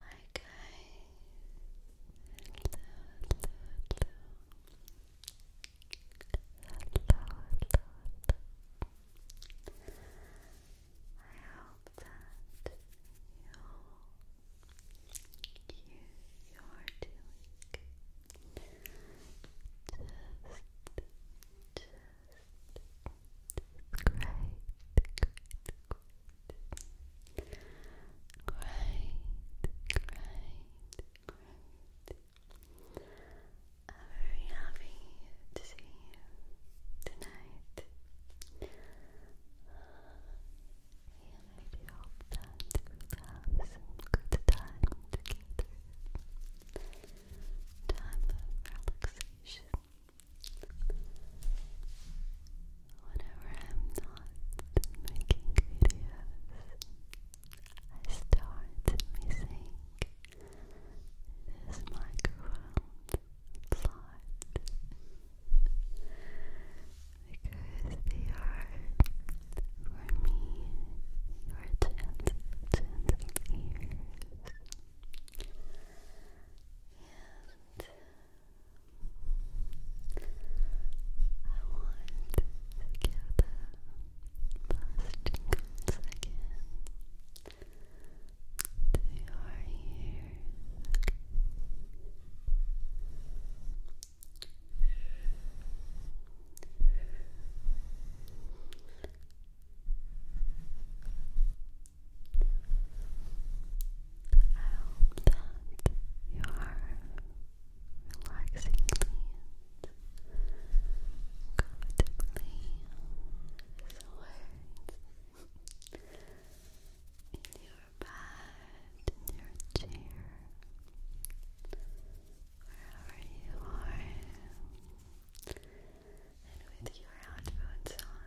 Hi guys, hello, hello, hello, hello, hello, I hope that you, you, are doing great, great, great great, great. i very happy to see you tonight. And I do have some good time together. Time of relaxation, Whenever I'm not making videos, I start missing this microphone plot because they are, for me, your gentle, gentle ears. I want to give them plastic coats again to your ears. Relax. I hope that you are relaxingly comfortably relaxed in your bed, in your chair, wherever you are, and with your headphones on.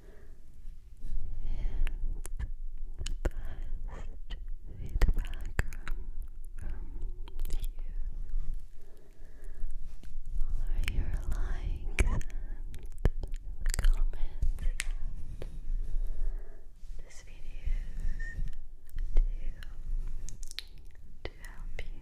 feedback from you. All your likes and comments this video to, to help you.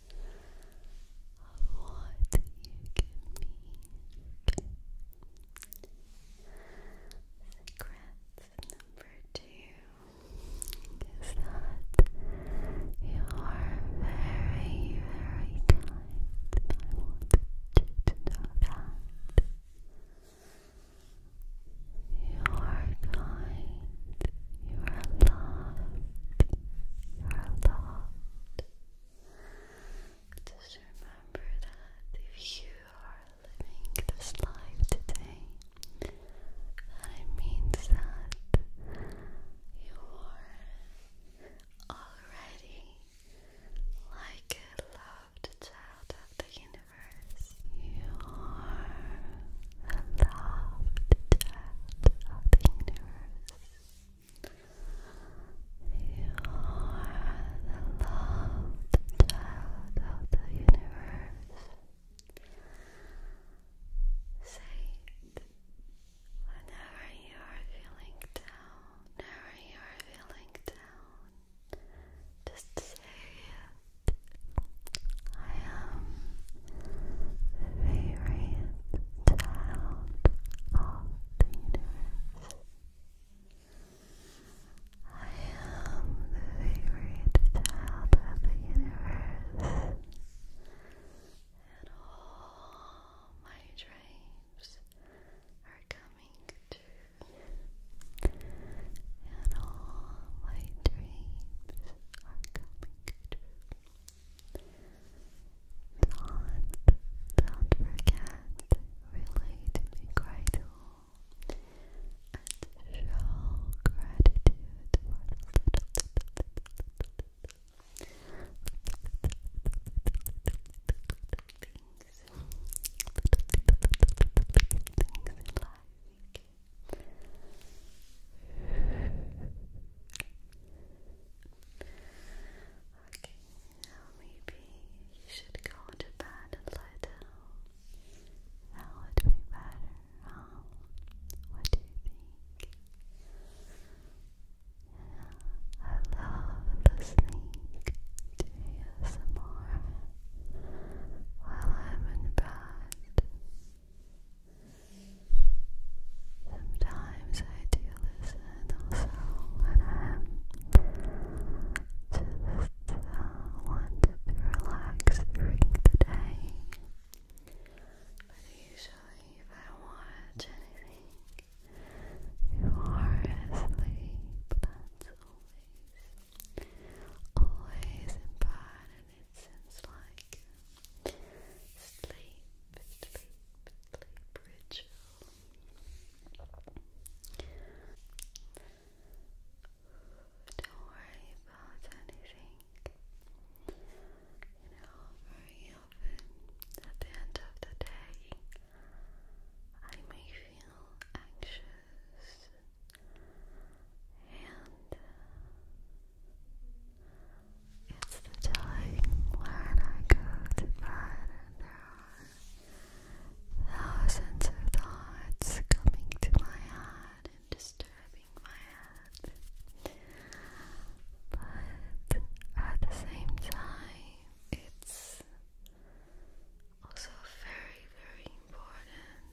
of what you give me. Secret number two is that you are very, very kind. I want to know that. You are kind, you are loved, you are loved, just remember that if you are living this life today, that means that you are already like a loved child of the universe. You are a loved child of the universe. You are the loved child of the universe. Say whenever you are feeling down, whenever you are feeling down. Just say I am favorite child of the universe. I am the favorite child of the universe. And all my dreams are coming true. And all my dreams are coming true. Don't, don't forget, relate me grateful show gratitude for the little things, in life. Okay, now maybe you should go to bed and lie down. would be better, huh? Um, what do you think? I love listening to ASMR while I'm in bed. Sometimes I do listen also when I'm just uh, to relax during the day. But usually if I watch anything, you are asleep. That's always, always important it seems like sleep, sleep, sleep ritual. Don't worry about anything. You know, very often at the end of the day, I may feel anxious and. Uh, it's the time when I go to bed and there are thousands of thoughts coming to my head and disturbing my head. But at the same time, it's also very, very important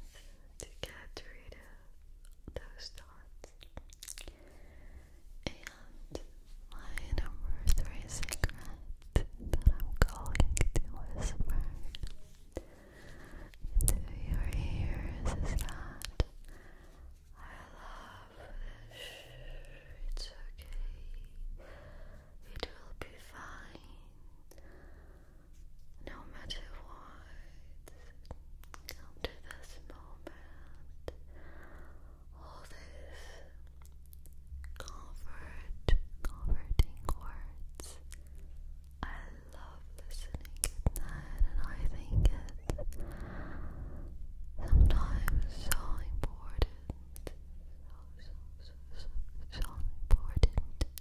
to get rid of those dots. And my number three secret that I'm going to whisper into your ears is that I love this. It's okay. It will be fine. No matter what, Come to this moment. All this comfort, comforting words. I love listening at night, and I think it's sometimes so important, so so so, so important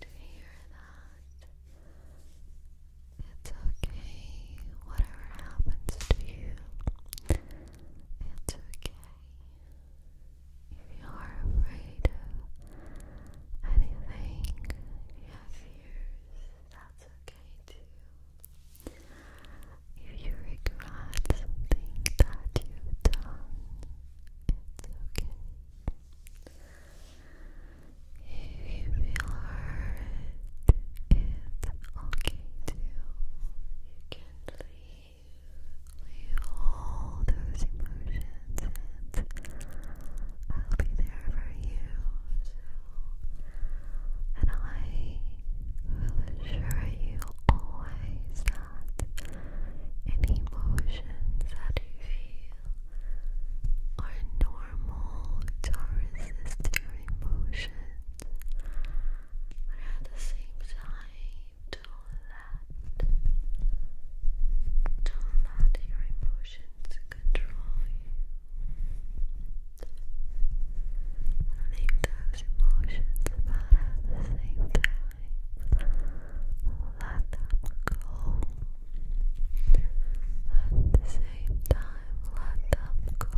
to hear that. It's okay, whatever happens to you, it's okay. If you are afraid of anything, you have that's okay too. If you regret something that you've done, it's okay. If you feel hurt, it's okay too. You can leave, leave all those emotions, and I'll be there for you. and I will assure you always that any emotions that you feel. Our normal to resist your emotions, but at the same don't let don't let your emotions control you. Leave those emotions, but at the same time, let them go. At the same time, let them go.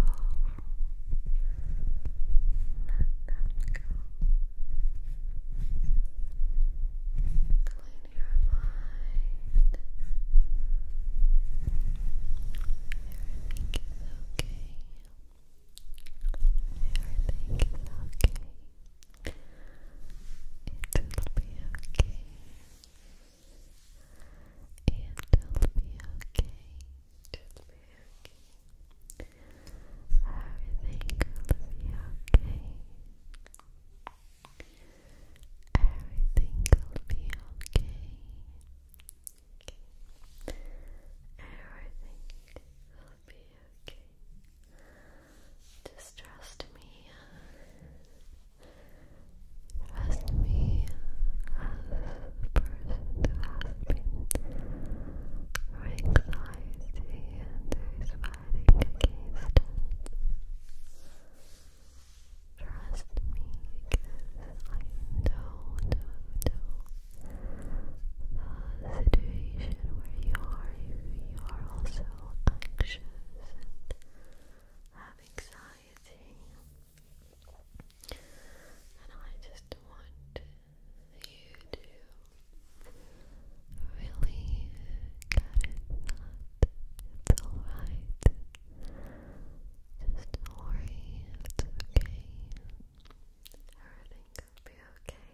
Clean your mind. Everything okay. Everything okay. It'll be okay. It'll be okay. It'll be okay. Everything will be okay. Everything will be okay. Everything will be okay. Distrust me. Trust me as the person who and who is fighting Trust me because I know, the situation where you are. you are also anxious and have anxiety. And I just want you to really get it that it's alright. Just don't worry, it's okay. Everything will be okay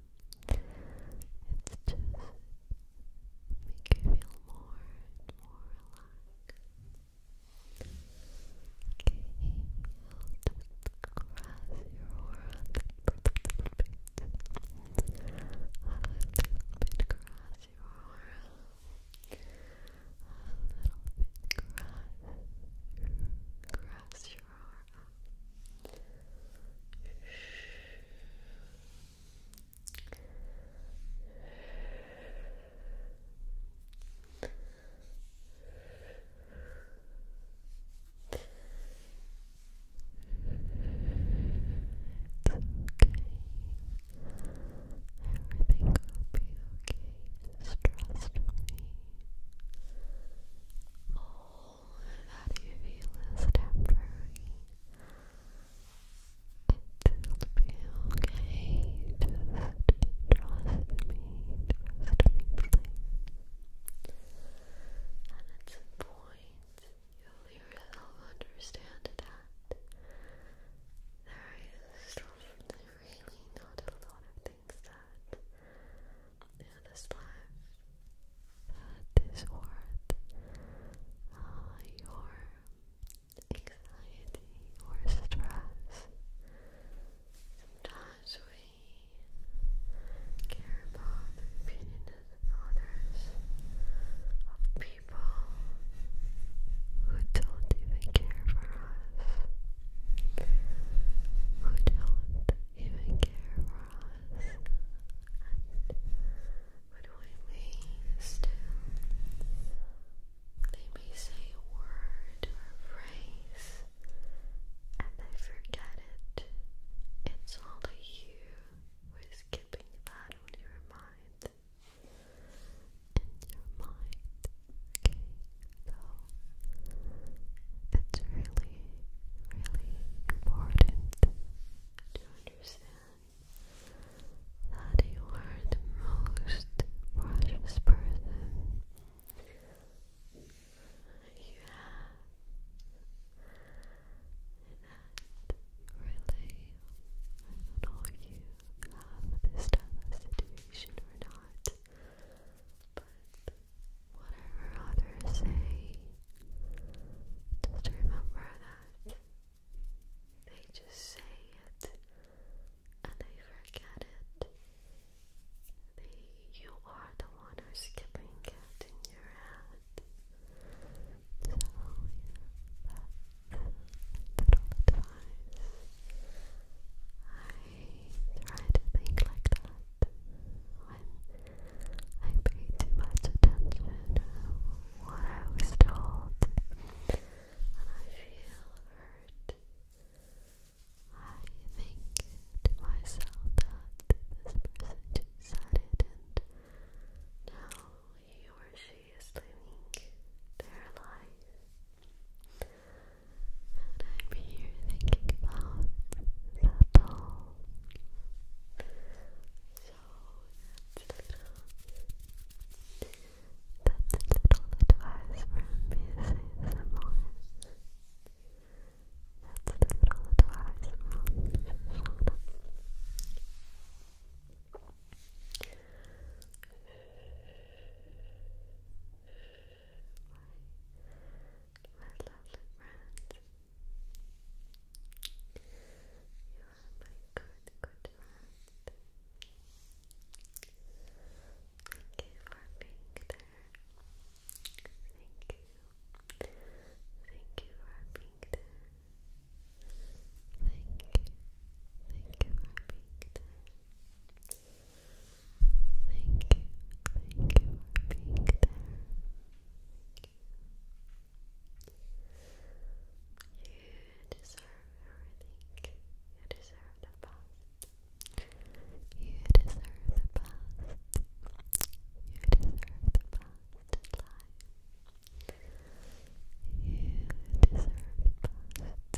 It's just make you more and more relaxed. Okay, I'll just cross your a little bit. A little bit A little bit cross, cross your aura. Everything will be okay. trust me. All how you feel is temporary. It will be okay. trust me. Trust me, And at some point, you'll yourself understand that there is really not a lot of things that in this life that is worth uh, your anxiety or stress. Sometimes we care about the opinion of others, of people who don't even care for us, who don't even care for us. What do I mean? They may say a word or a phrase, and I forget it. It's all you were skipping that on your mind. In your mind. Okay, so it's really really important to understand that you are the most precious person you have. And really, I don't know if you have this type of situation or not, but what others say. Just remember that they just say it and they forget it. you are the one who's skipping it in your head. So, yeah, that's little advice. I try to think like that when I paid too much attention to what I was told, and I feel hurt. I think to myself that this person just said it, and now he or she is living their life. And I'm here thinking about that so that's a little, that's a little advice That's a little advice my lovely friends. You are my good, good friend. Thank you for being there. Thank you. Thank you for being there. Thank you. Thank you for being there. Thank you, thank you for You You deserve the best. You You deserve the best You deserve the best. You deserve the best. You You deserve the best.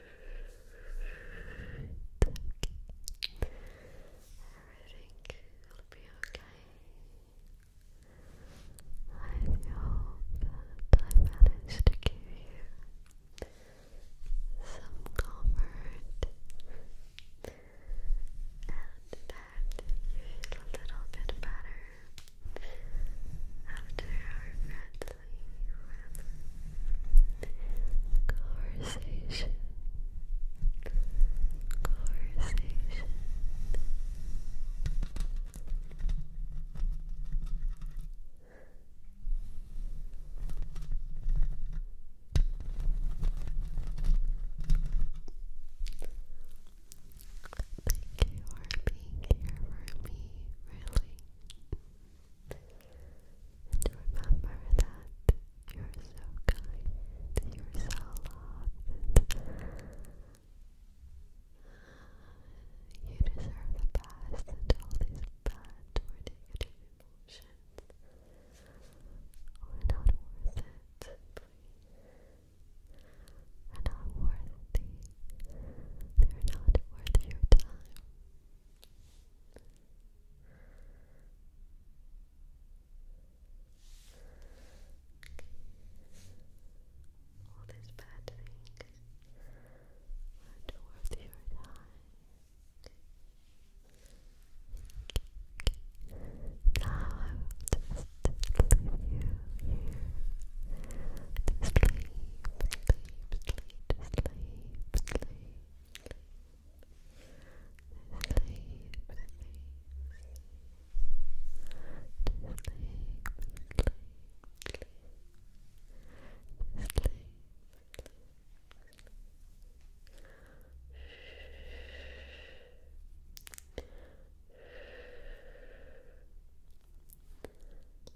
okay. Everything will be okay. I hope that I managed to give you some comfort and that you feel a little bit better after our friend's Conversation. Conversation. Thank you for being here for me, really. And remember that you're so kind, you're so loved, you deserve the best and all these bad or negative emotions are not worth it. They're not worthy. They're not worth your time. All these bad things are towards your time. Now I just leave you here to sleep, sleep, to sleep, sleep, sleep, sleep, sleep, sleep, sleep. Sleep,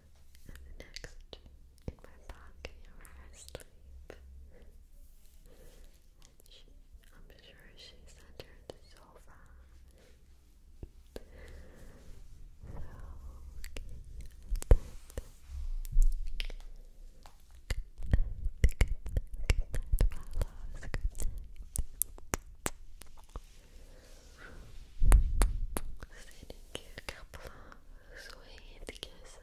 and next in my pocket where I sleep. And she, I'm sure she's under the sofa. So, okay, Sending you a couple of sweet kisses.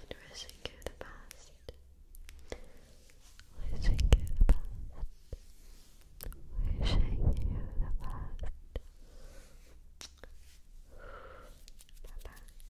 And wishing you the best. Wishing you the best. Wishing you the best. bye.